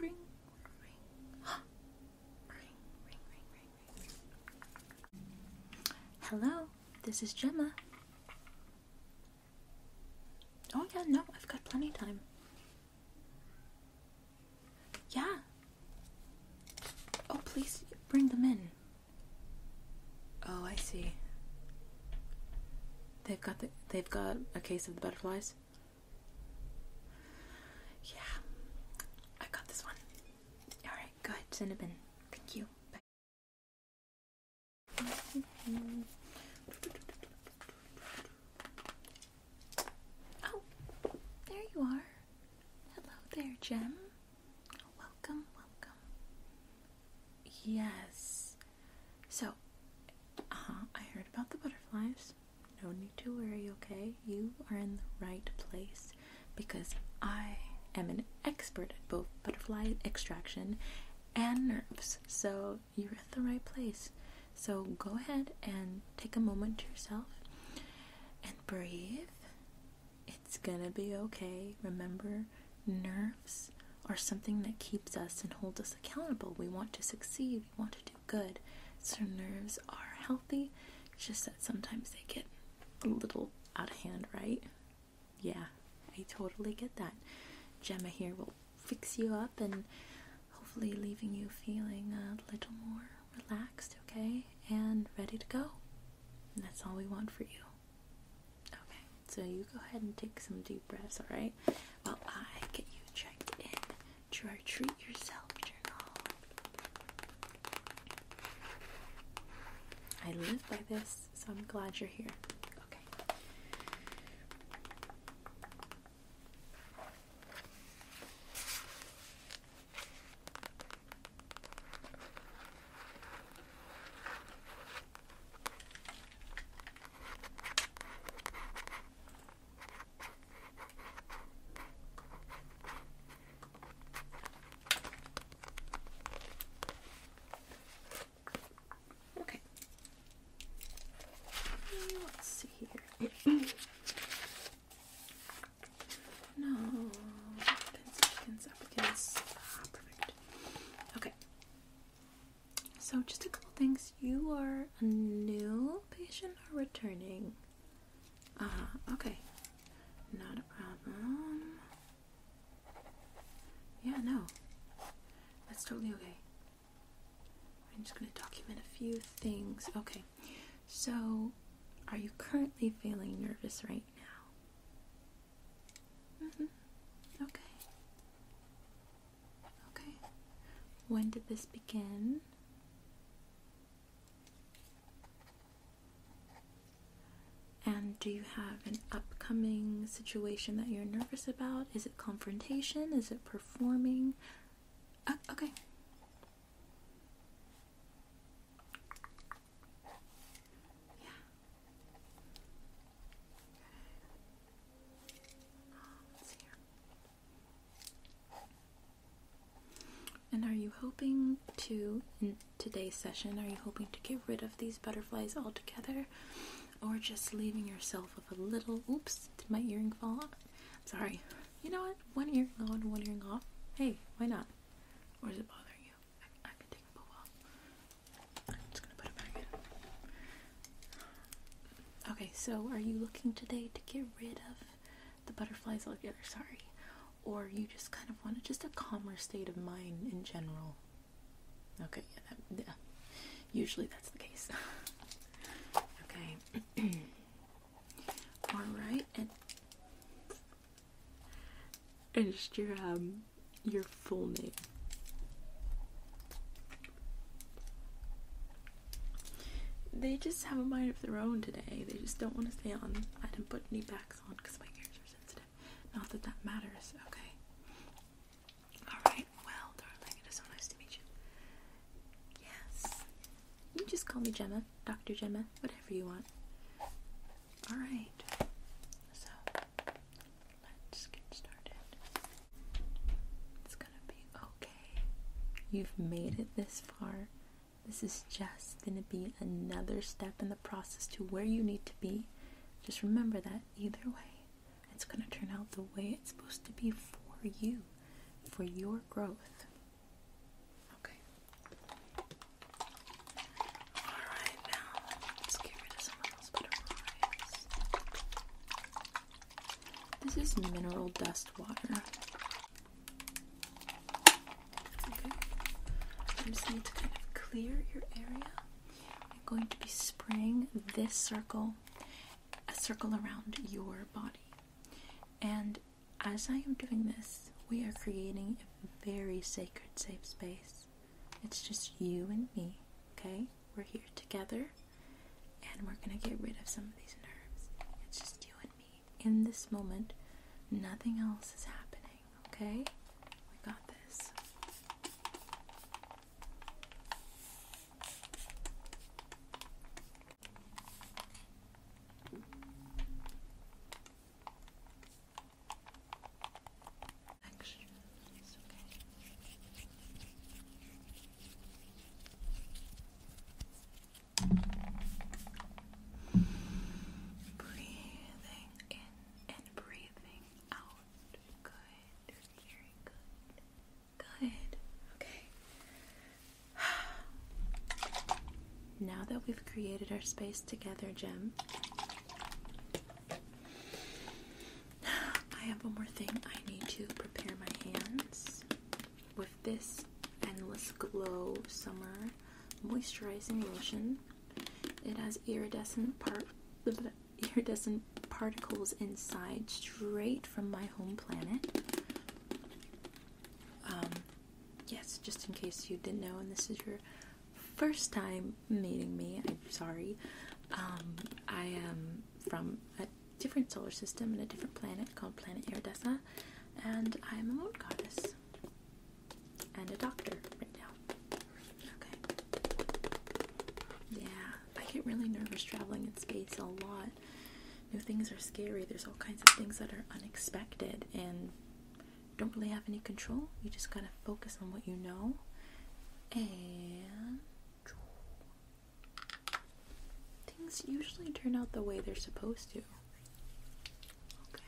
Ring, ring. Hello, this is Gemma. Oh, yeah, no, I've got plenty of time. Yeah. Oh, please bring them in. Oh, I see. They've got the, they've got a case of the butterflies. Yeah. I got this one. All right, good. Send it in. Thank you. Oh, there you are. Hello there, Jem. Welcome, welcome. Yes. So, uh huh, I heard about the butterflies. No need to worry, okay? You are in the right place because I am an expert at both butterfly extraction and nerves, so you're at the right place. So go ahead and take a moment to yourself and breathe. It's gonna be okay. Remember, nerves are something that keeps us and holds us accountable. We want to succeed, we want to do good. So, nerves are healthy, just that sometimes they get a little out of hand, right? yeah, I totally get that. Gemma here will fix you up and hopefully leaving you feeling a little more relaxed, okay, and ready to go. that's all we want for you. Okay, so you go ahead and take some deep breaths, alright? While I get you checked in to our treat yourself journal. I live by this, so I'm glad you're here. Okay. Okay. Let's see here. no. Ah, okay. So, just a couple things. You are a new patient or returning? Uh, okay. Not a problem. Yeah, no. That's totally okay. I'm just going to document a few things. Okay. So, are you currently feeling nervous right now? hmm Okay. Okay. When did this begin? And do you have an upcoming situation that you're nervous about? Is it confrontation? Is it performing? Uh, okay. Yeah. Um, and are you hoping to, in today's session, are you hoping to get rid of these butterflies altogether? Or just leaving yourself with a little. Oops, did my earring fall off? Sorry. You know what? One earring on, one earring off. Hey, why not? Or is it bothering you? I, can take them both off. I'm just gonna put it back in. Okay, so are you looking today to get rid of the butterflies altogether? Sorry or you just kind of want just a calmer state of mind in general. Okay, yeah, usually that's the case. okay, all right, and, just your um your full name. They just have a mind of their own today. They just don't want to stay on. I didn't put any backs on because my ears are sensitive. Not that that matters, okay? Alright, well, darling, it is so nice to meet you. Yes. You just call me Gemma, Dr. Gemma, whatever you want. Alright, so let's get started. It's gonna be okay. You've made it this far. This is just going to be another step in the process to where you need to be. Just remember that either way, it's going to turn out the way it's supposed to be for you, for your growth. Okay. Alright, now let's get rid of some of those This is mineral dust water. Okay. I just need to kind of clear your area. I'm going to be spraying this circle, a circle around your body. And as I am doing this, we are creating a very sacred, safe space. It's just you and me, okay? We're here together and we're gonna get rid of some of these nerves. It's just you and me in this moment. Nothing else is happening, okay? We got this. okay. Breathing in and breathing out. Good. you good. Good. Okay. Now that we've created our space together, Jim, I have one more thing. I need to prepare my hands with this Endless Glow Summer Moisturizing Lotion. It has iridescent part iridescent particles inside, straight from my home planet. Um, yes, just in case you didn't know, and this is your first time meeting me, I'm sorry. Um, I am from a different solar system and a different planet called Planet Iridescent and I'm a moon goddess. And a doctor right now. Okay. Yeah, I get really nervous traveling in space a lot. New things are scary. There's all kinds of things that are unexpected and don't really have any control. You just gotta focus on what you know. And things usually turn out the way they're supposed to. Okay.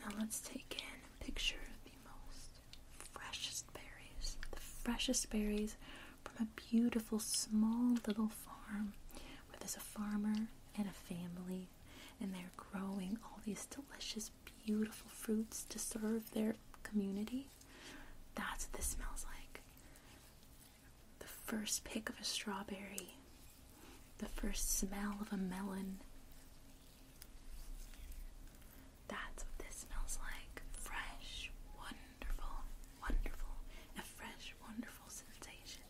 Now let's take in a picture of the most freshest berries. The freshest berries from a beautiful small little farm where there's a farmer and a family and they're growing all these delicious, beautiful fruits to serve their community. That's what this smells like the first pick of a strawberry, the first smell of a melon. That's what this smells like. Fresh, wonderful, wonderful, a fresh, wonderful sensation.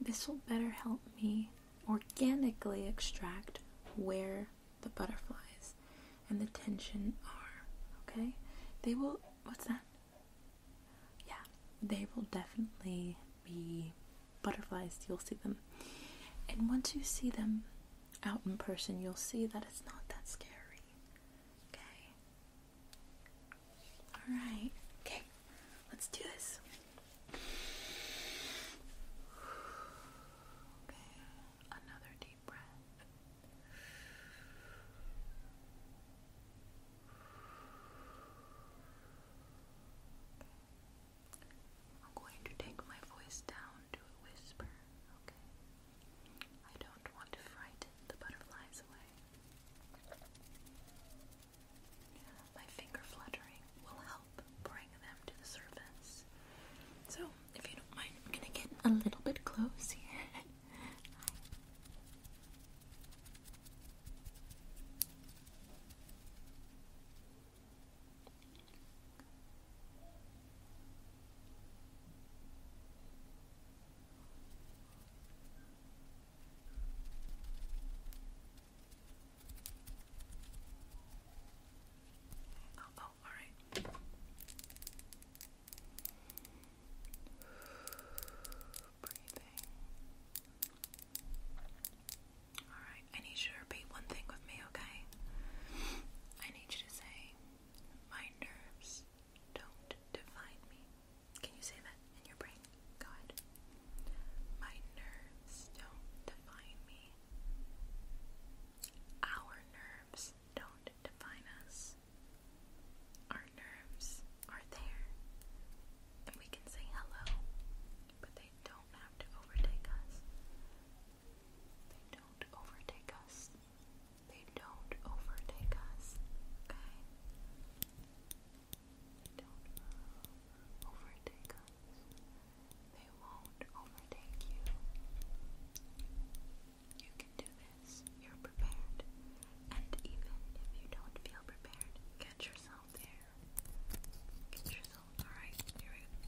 This will better help me organically extract where the butterflies and the tension are. Okay? They will. What's that? Yeah, they will definitely be butterflies. You'll see them. And once you see them out in person, you'll see that it's not that scary. Okay? Alright. Okay, let's do this. Okay, another deep breath. I'm going to take my voice down to a whisper, okay? I don't want to frighten the butterflies away. My finger fluttering will help bring them to the surface. So if you don't mind, I'm gonna get a little bit close here. Oh, oh, alright? Breathing. Alright, I need you to repeat one thing with me, okay? I need you to say, My nerves don't define me. Can you say that in your brain? Go ahead. My nerves don't define me. Our nerves don't would define us. Our nerves are there, and we can say hello, but they don't have to overtake us. They don't overtake us. They don't overtake us. Okay? They don't overtake us. They won't overtake you. You can do this. You're prepared. And even if you don't feel prepared, get yourself there. Alright, here we go.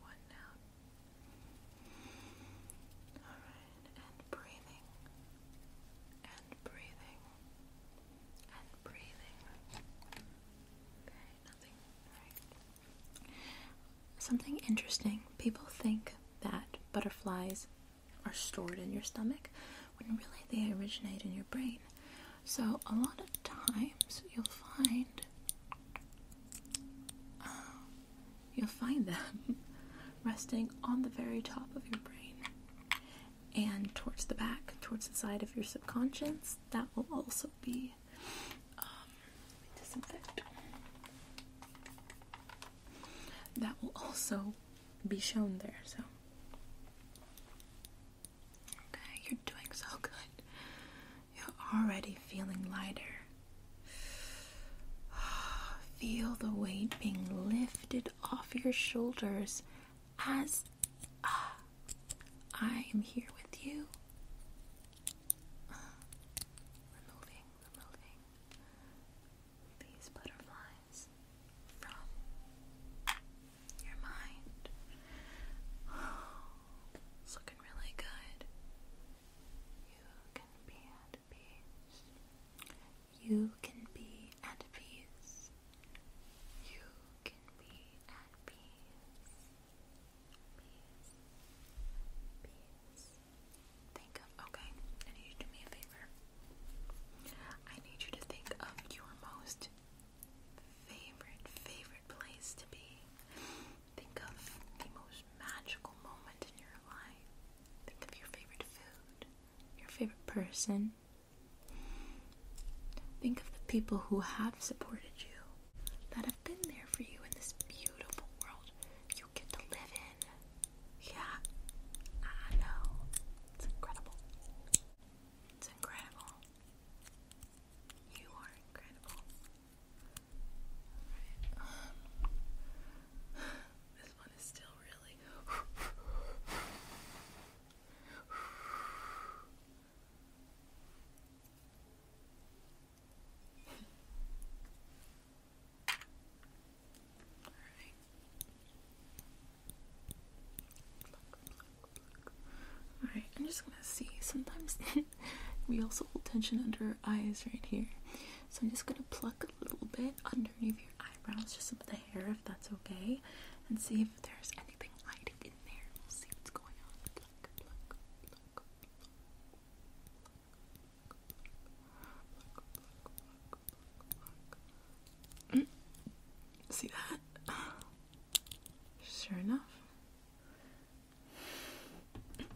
One down. Alright, and breathing, and breathing, and breathing. nothing. Alright. Something interesting people think that butterflies are stored in your stomach when really they originate in your brain. So, a lot of times you'll find. Um, you'll find them resting on the very top of your brain and towards the back, towards the side of your subconscious. That will also be um, That will also be shown there. So, okay, you're doing so good. You're already feeling lighter. Feel the weight being lifted off your shoulders as ah, I am here with you. Removing, removing these butterflies from your mind. looking really good. You can be at you can be at peace. You can be at peace. Peace. Peace. Think of, okay, I you do me a favor. I need you to think of your most favorite, favorite place to be. Think of the most magical moment in your life. Think of your favorite food, your favorite person. Think of the people who have supported you, that have been there for you in this beautiful world you get to live in. Yeah, I know. It's incredible. It's incredible. You are incredible this one is still really. All right. I'm just gonna see. Sometimes we also hold tension under our eyes right here. So I'm just gonna pluck a little bit underneath your eyebrows, just some of the hair, if that's okay, and see if there's anything hiding in there. We'll see what's going on. See that? Sure enough, Okay,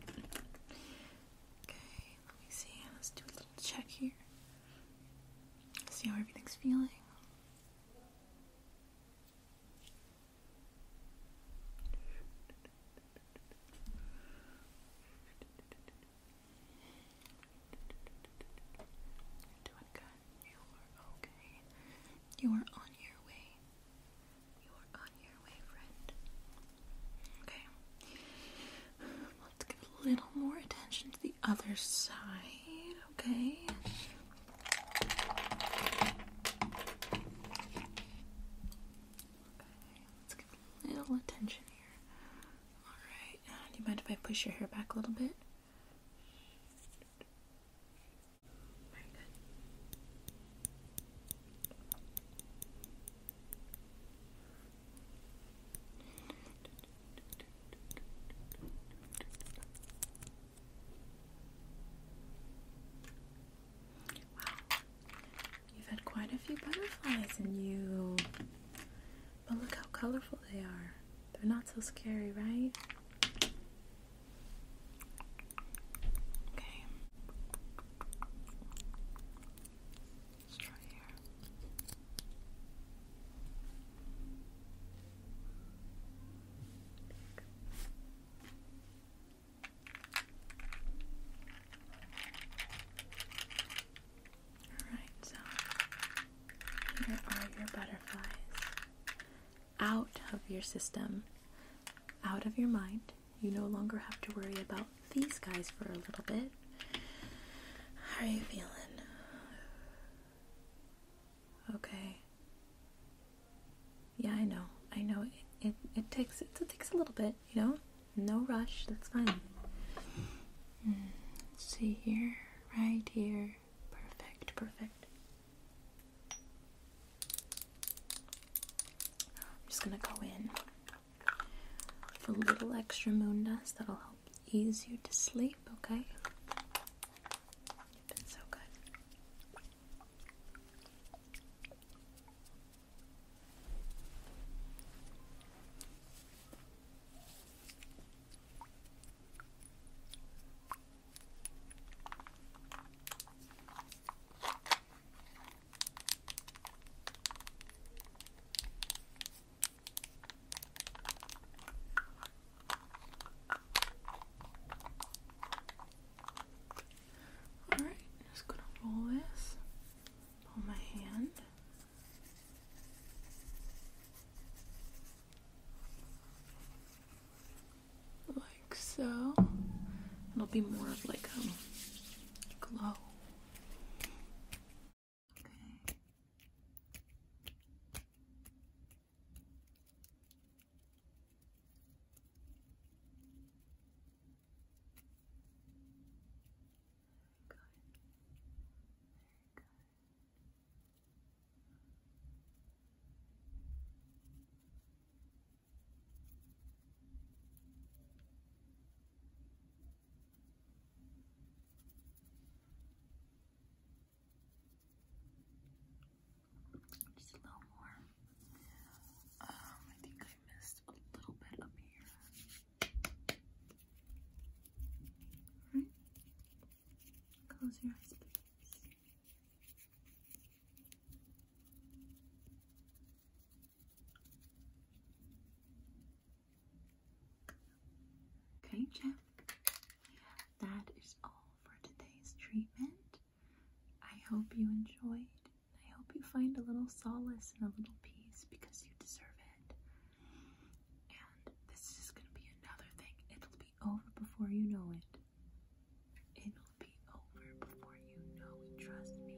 let me see. Let's do a little check here. See how everything's feeling. Doing good. You are okay. You are on your way. You're on your way, friend. Okay. Let's give a little more attention to the other side, okay? let's give a little attention here. Alright, uh, do you mind if I push your hair back a little bit? Very good. Wow, you've had quite a few butterflies in you. But look how colorful they are. They're not so scary, right? Okay. Let's try here. Alright, so here are your butterflies out of your system, out of your mind. You no longer have to worry about these guys for a little bit. How are you feeling? Okay. Yeah, I know. I know it it, takes it, takes a little bit, you know? No rush, that's fine. Hmm. See here, right here. Perfect, perfect. I'm just gonna go in with a little extra moon dust that'll help ease you to sleep, okay? been so good. Alright, just gonna roll this on my hand like so. It'll be more of like a um, glow. Just a little more. Um, I think I missed a little bit up here. All right. Close your eyes, please. Okay, Jeff, that is all for today's treatment. I hope you enjoyed. I hope you find a little solace and a little peace because you deserve it. And this is going to be another thing. It'll be over before you know it. It'll be over before you know Trust me.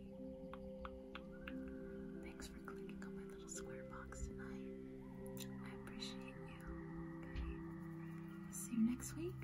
Thanks for clicking on my little square box tonight. I appreciate you. See you next week.